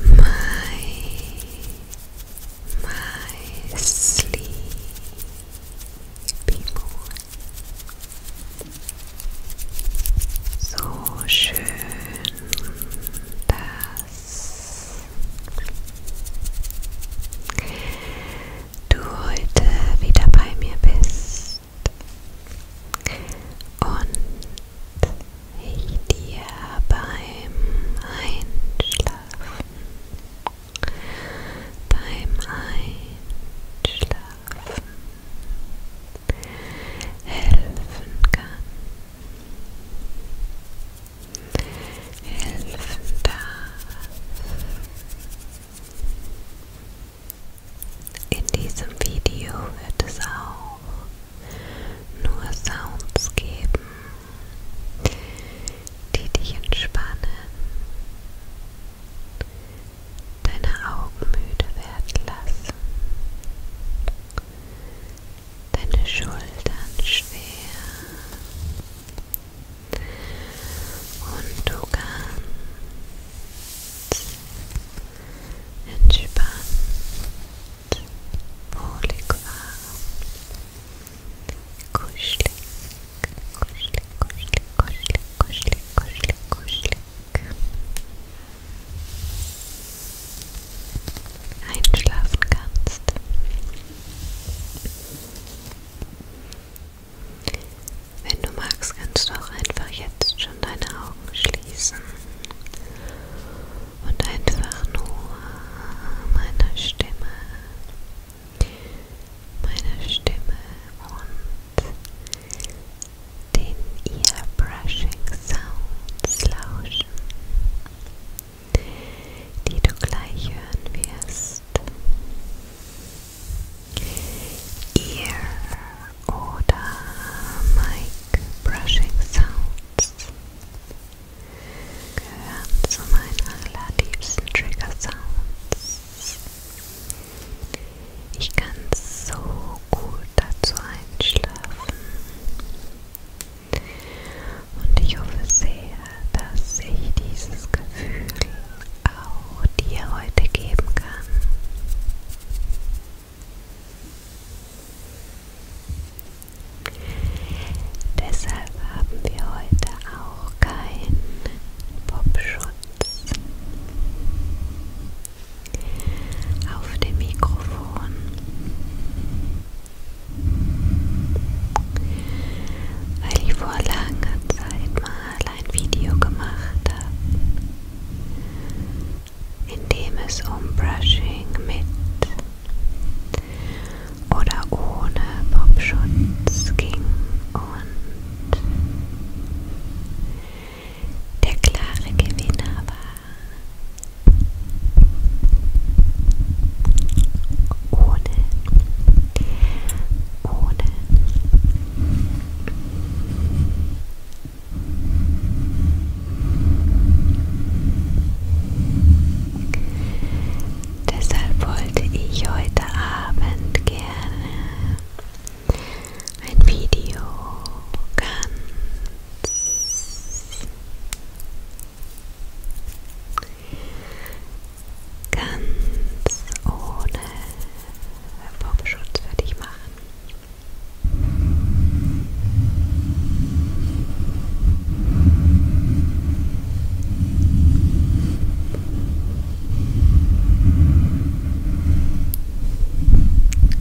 Hello, my my sleepy boy. So schön, dass du heute wieder bei mir bist und ich dir beim Einschlafen, beim Einschlafen helfen kann, helfen darf. In diesem Video wird es auch nur Sounds geben, die dich entspannen, deine Augen müde werden lassen, deine Schultern schwer und du kannst entspannt, wohlig warm, kuschelig, kuschelig, kuschelig, kuschelig, kuschelig, kuschelig, kuschelig einschlafen kannst. Wenn du magst, kannst du auch einfach jetzt schon deine Augen schließen und einfach nur meiner Stimme, meiner Stimme und den Earbrushing-Sounds lauschen, die du gleich hören wirst. Ear- oder Mic-Brushing-Sounds gehören zu meinen allerliebsten Trigger-Sounds. Ich kann so gut dazu Einschlafen. Und ich hoffe sehr, dass ich dieses Gefühl auch dir heute geben kann. Deshalb haben wir heute auch keinen Popschutz auf dem Mikrofon. Weil ich vor langer Zeit mal ein Video gemacht habe, in dem es um Brushing mit oder ohne Popschutz ging und der klare Gewinner war ohne, ohne. Deshalb wollte ich heute Abend gerne ein Video ganz, ganz ohne Popschutz für dich machen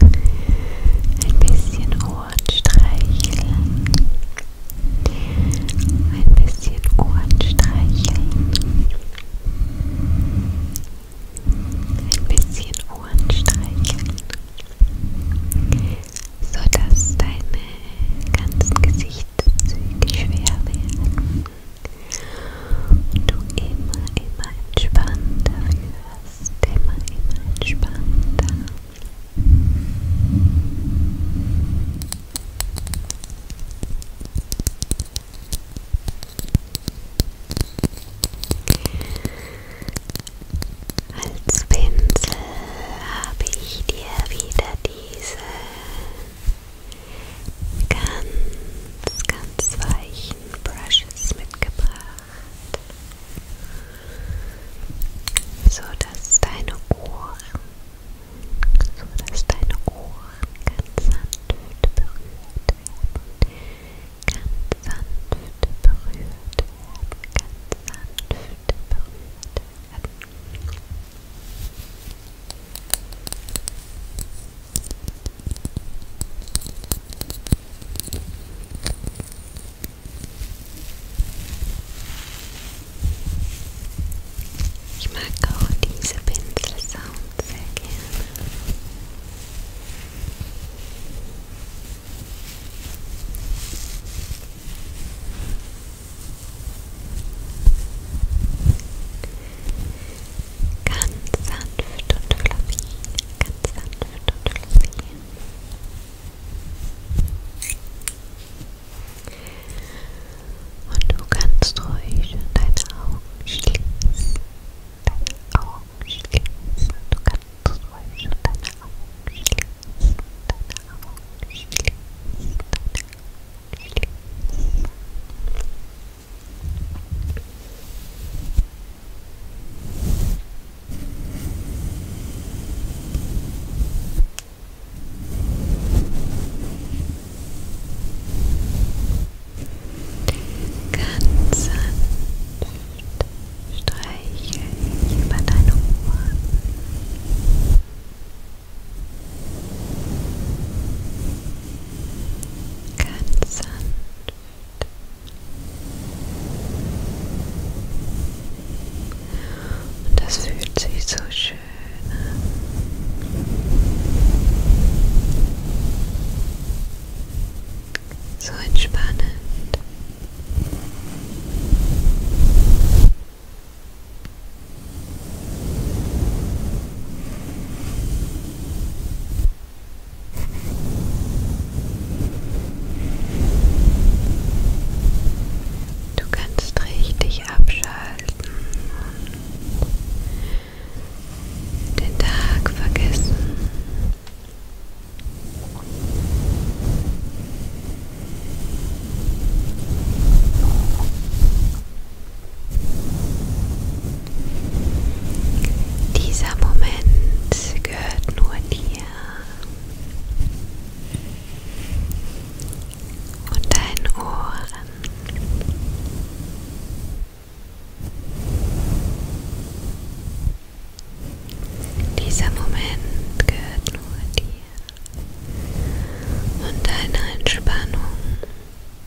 ein bisschen Ohren streicheln, ein bisschen Ohren streicheln, ein bisschen Ohren streicheln, sodass deine ganzen Gesichtszüge schwer werden. Und du immer, immer entspannter wirst wirst immer, immer entspannter. Als Pinsel habe ich dir wieder diese ganz, ganz weichen Brushes mitgebracht so dass deine Ohren, so dass deine Ohren ganz sanft berührt werden, ganz sanft berührt werden, ganz sanft berührt werden. Ich mag auch diese Pinselsound sehr gerne. Ganz sanft und fluffy. Ganz sanft und fluffy. Und du kannst ruhig deine Augen schließen. Deine Augen schließen. Du kannst ruhig deine Augen schließen. Deine Augen schließen. Deine Augen schließen. Ganz sanft streiche ich über deine Ohren. Ganz sanft und das fühlt sich so schön an. So entspannend. Du kannst richtig abschalten und den Tag vergessen. Dieser Moment gehört nur dir. Und deinen Ohren. Dieser Moment gehört nur dir und deiner Entspannung.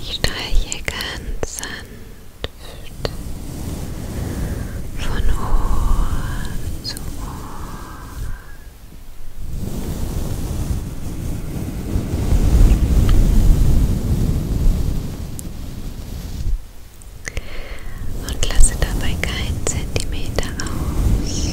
Ich streiche ganz sanft von Ohr zu Ohr. Und lasse dabei keinen Zentimeter aus.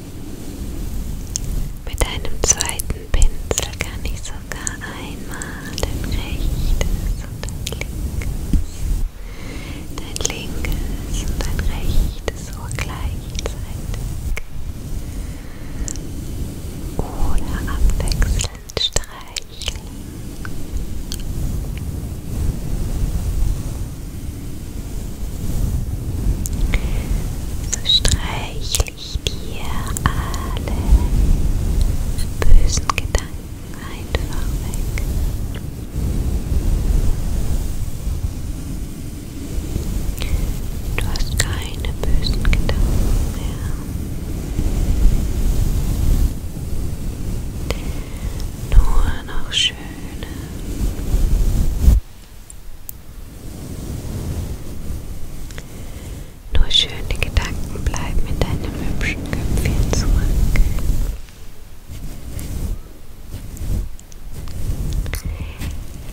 Mit einem zweiten Pinsel kann ich sogar einmal dein rechtes und dein linkes, dein linkes und dein rechtes Ohr gleichzeitig oder abwechselnd streicheln. So streichle ich dir alle bösen Gedanken einfach weg. Du hast keine bösen Gedanken mehr. Nur noch schöne, nur schöne Gedanken bleiben in deinem hübschen Köpfchen zurück.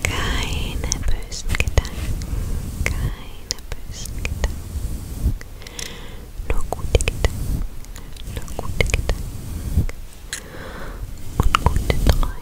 Keine bösen Gedanken, keine bösen Gedanken. Nur gute Gedanken, nur gute Gedanken und gute Träume.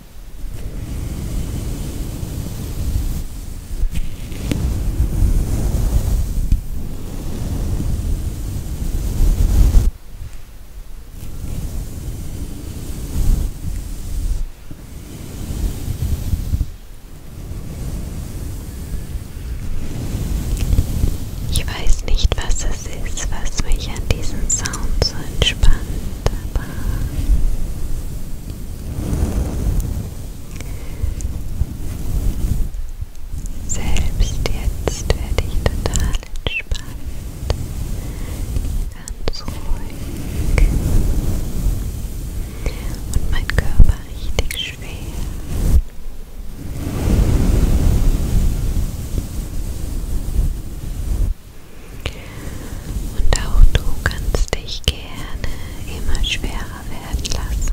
Ich weiß nicht, was es ist, was mich an diesem Sound so entspannt, aber selbst jetzt werde ich total entspannt, ganz ruhig und mein Körper richtig schwer. Und auch du kannst dich gerne immer schwerer werden lassen.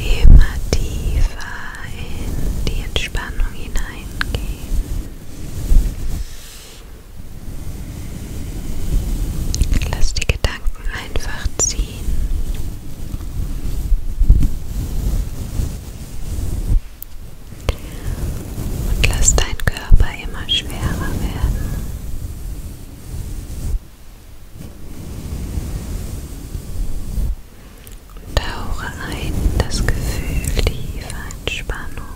Immer tiefer in die Entspannung hineingehen. Lass die Gedanken einfach ziehen. Und lass dein Körper immer schwerer werden. Und tauche ein das Gefühl tiefer Entspannung.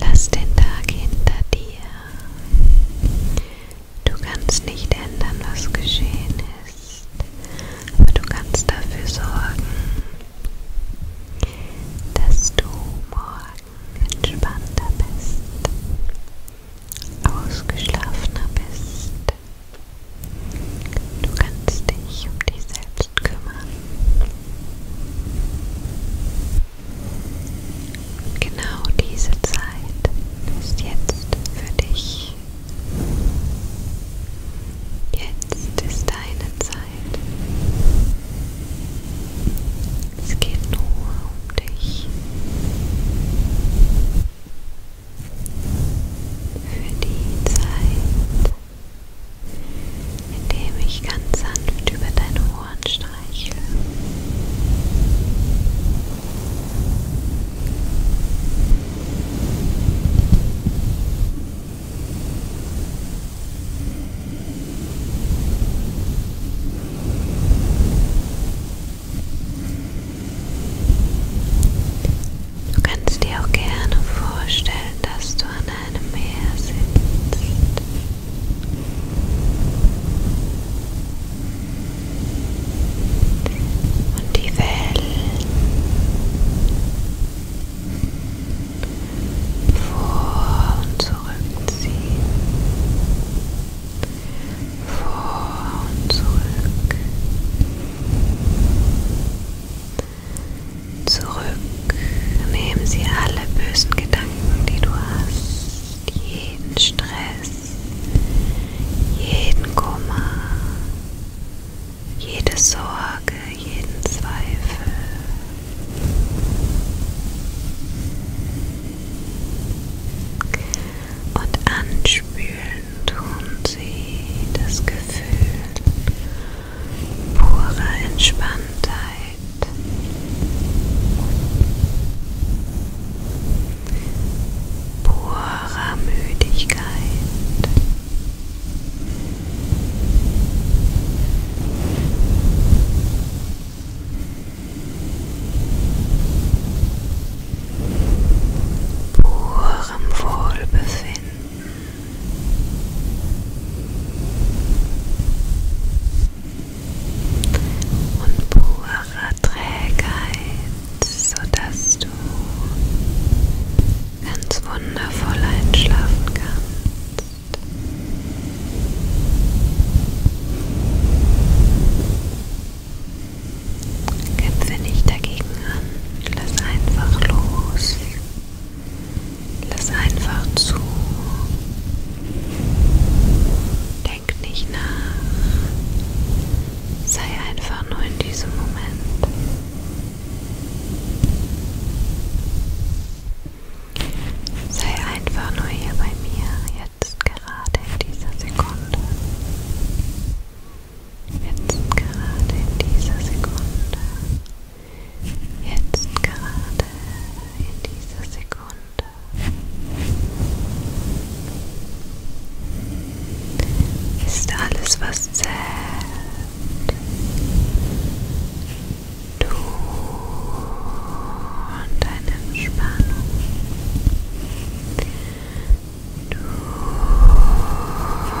Lass den Tag hinter dir. Du kannst nicht ändern, was geschehen ist, aber du kannst dafür sorgen, dass du morgen Tagen entspannter bist, ausgeschlafener bist. Du kannst dich um dich selbst kümmern. Genau diese Zeit ist jetzt für dich. Jetzt ist deine Zeit. Es geht nur um dich. Für die Zeit, indem ich ganz sanft über deine Ohren streichle. Du kannst dir auch gerne vorstellen, dass du an einem Meer sitzt. Und die Wellen vor und zurückziehen, vor und zurück, zurück. Nehmen Sie alle bösen Gedanken, die du hast, jeden Stress, jeden Kummer. Jede Sorge, jeden Zweifel und anspülen tun sie das Gefühl purer Entspanntheit. Purer Müdigkeit purem Wohlbefinden. Und purer Trägheit, sodass du ganz wundervoll einschlafen kannst. Kämpfe nicht dagegen an, lass einfach los, lass einfach zu, denk nicht nach, sei einfach nur in diesem Moment. Sei einfach nur hier bei mir, jetzt gerade in dieser Sekunde. Jetzt gerade in dieser Sekunde. Jetzt gerade in dieser Sekunde. Ist alles, was zählt. Du und deine Entspannung. Du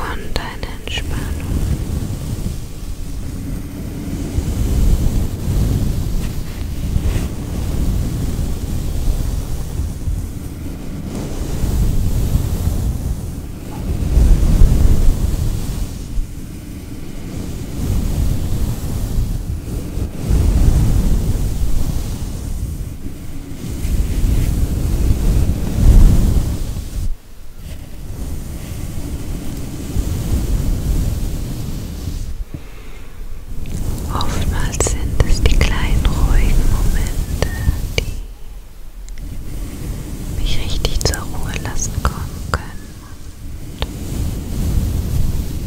und deine Entspannung. Du Oftmals sind es die kleinen ruhigen Momente, die mich richtig zur Ruhe lassen kommen können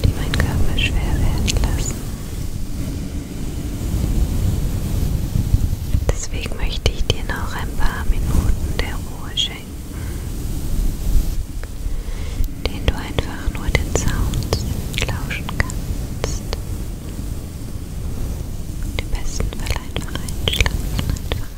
die meinen Körper schwer werden lassen. Deswegen möchte ich dir noch ein paar Minuten der Ruhe schenken, den du einfach nur den Sounds lauschen kannst. Und am besten Fall einfach einschlafen, einfach